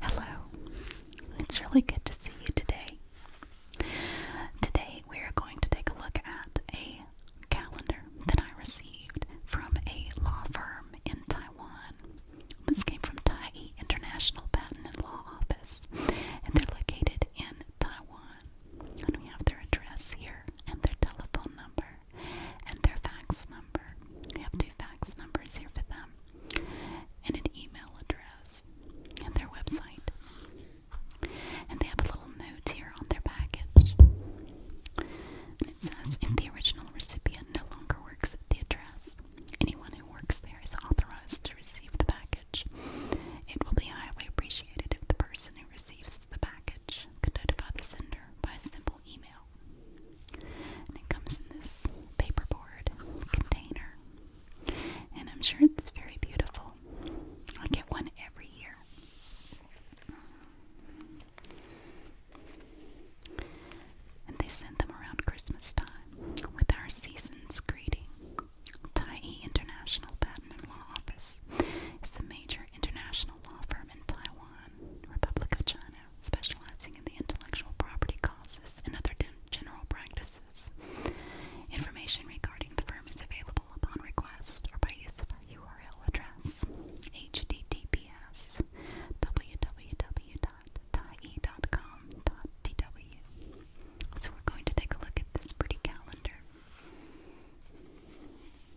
Hello, it's really good to see you today. Today we are going to take a look at a calendar that I received from a law firm in Taiwan. This came from Tai International Patent and Law Office, and they're located in Taiwan. And we have their address here and their telephone number and their fax number. We have two fax numbers here for them, and an email address, and their website. And they have a little note here on their package. it says if the original recipient no longer works at the address, anyone who works there is authorized to receive the package. It will be highly appreciated if the person who receives the package, could notify the sender by a simple email. And it comes in this paperboard container. And I'm sure it's very beautiful. I get one every year. And they send them around Christmas time with our season's greeting. Taiyi International Patent Law Office is a major international law firm in Taiwan. Taiwan, Republic of China, specializing in the intellectual property causes and other general practices. Information regarding the firm is available upon request or by use of our URL address https www.tie.com.tw. So we're going to take a look at this pretty calendar.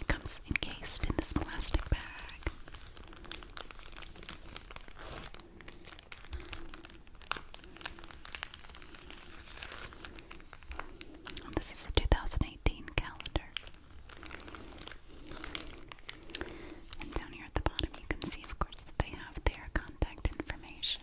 It comes encased in this plastic bag. this is a 2018 calendar. And down here at the bottom, you can see, of course, that they have their contact information.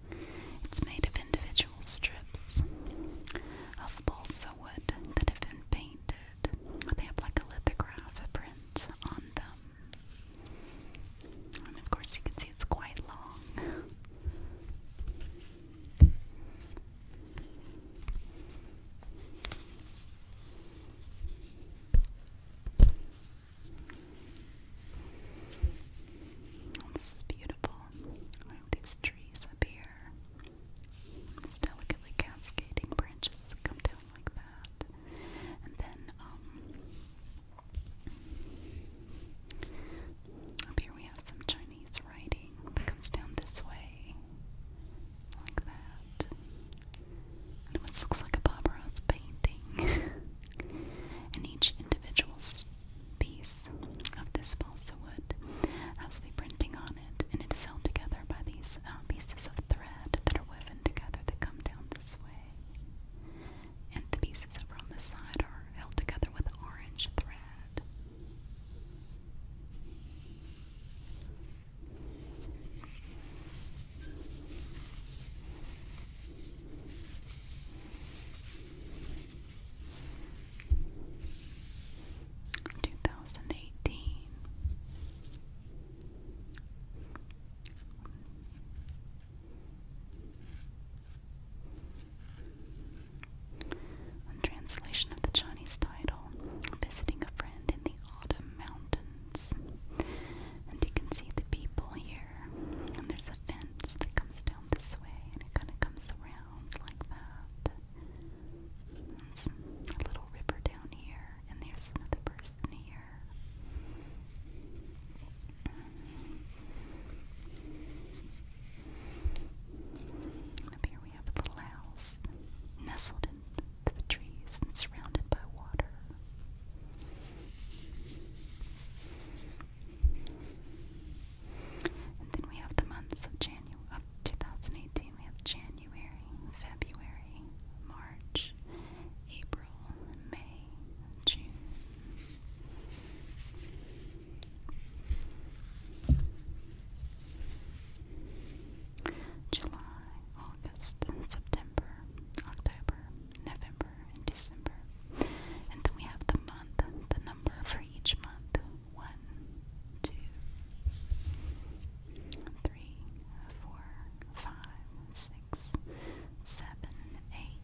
It's made of individual strips of balsa wood that have been painted. They have like a lithograph print on them. And of course, you can see it's quite long. This is beautiful. these trees up here. These delicately cascading branches come down like that. And then, um, up here we have some Chinese writing that comes down this way. Like that. And it looks like a Bob painting. and each individual piece of this balsa wood has the printing on it, and it is held together by these uh, pieces of thread that are woven together that come down this way. And the pieces over on the side are held together with orange thread. 2018 translation of the Chinese title, Visiting a Friend in the Autumn Mountains fence. And you can see the people here. And there's a fence that comes down this way and it kind of comes around like that. There's a little river down here, and there's another person here. And up here we have a little house nestled into the trees and surrounded by water. And then we have the months of January of 2018. We have January, February, March, April, May, June. July, August, September, October, November, and December. And then we have the month, the number for each month. One, two, three, four, five, six, seven, eight,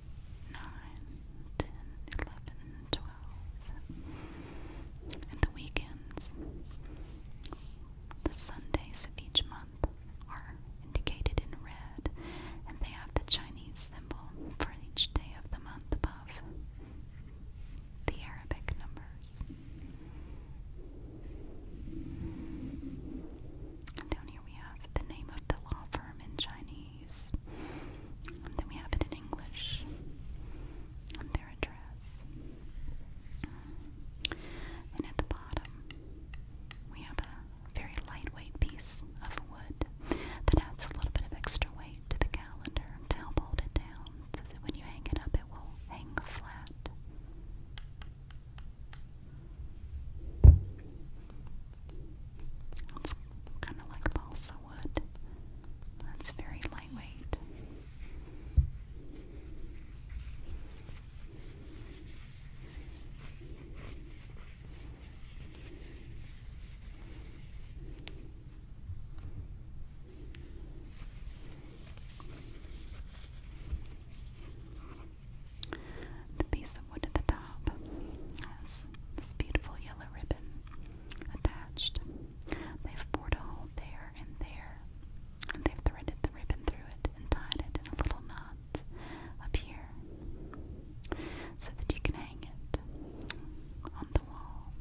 nine, ten, eleven, twelve. And the weekends, the Sundays of each month are indicated in red, and they have the Chinese symbol for each day of the month above the Arabic numbers. down here we have the name of the law firm in Chinese, and then we have it in English, and their address. And at the bottom, we have a very lightweight piece of wood that adds a little bit of extra weight to the calendar to help hold it down so that when you hang it up, it will hang flat. It's kind of like balsa wood. That's very lightweight. The piece of wood at the top has this beautiful yellow ribbon attached. They've bored a hole there and there, and they've threaded the ribbon through it and tied it in a little knot up here so that you can hang it on the wall.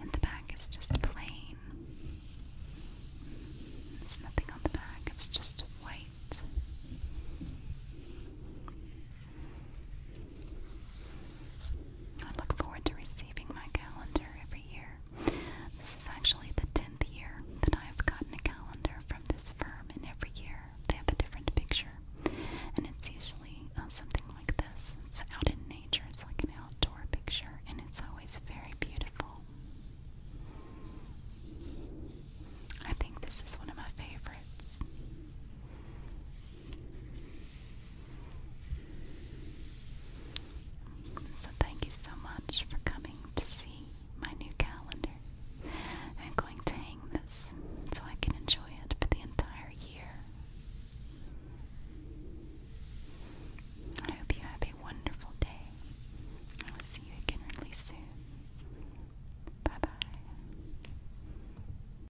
And the back is just plain. There's nothing on the back, it's just white. I look forward to receiving my calendar every year. This is actually the 10th year that I have gotten a calendar from this firm, and every year they have a different picture. And it's usually uh, something like this it's out in nature, it's like an outdoor picture, and it's always very beautiful. I think this is one of my favorites. So, thank you so much for coming to see my new calendar. I'm going to hang this so I can enjoy it for the entire year. I hope you have a wonderful day. I will see you again really soon. Bye bye.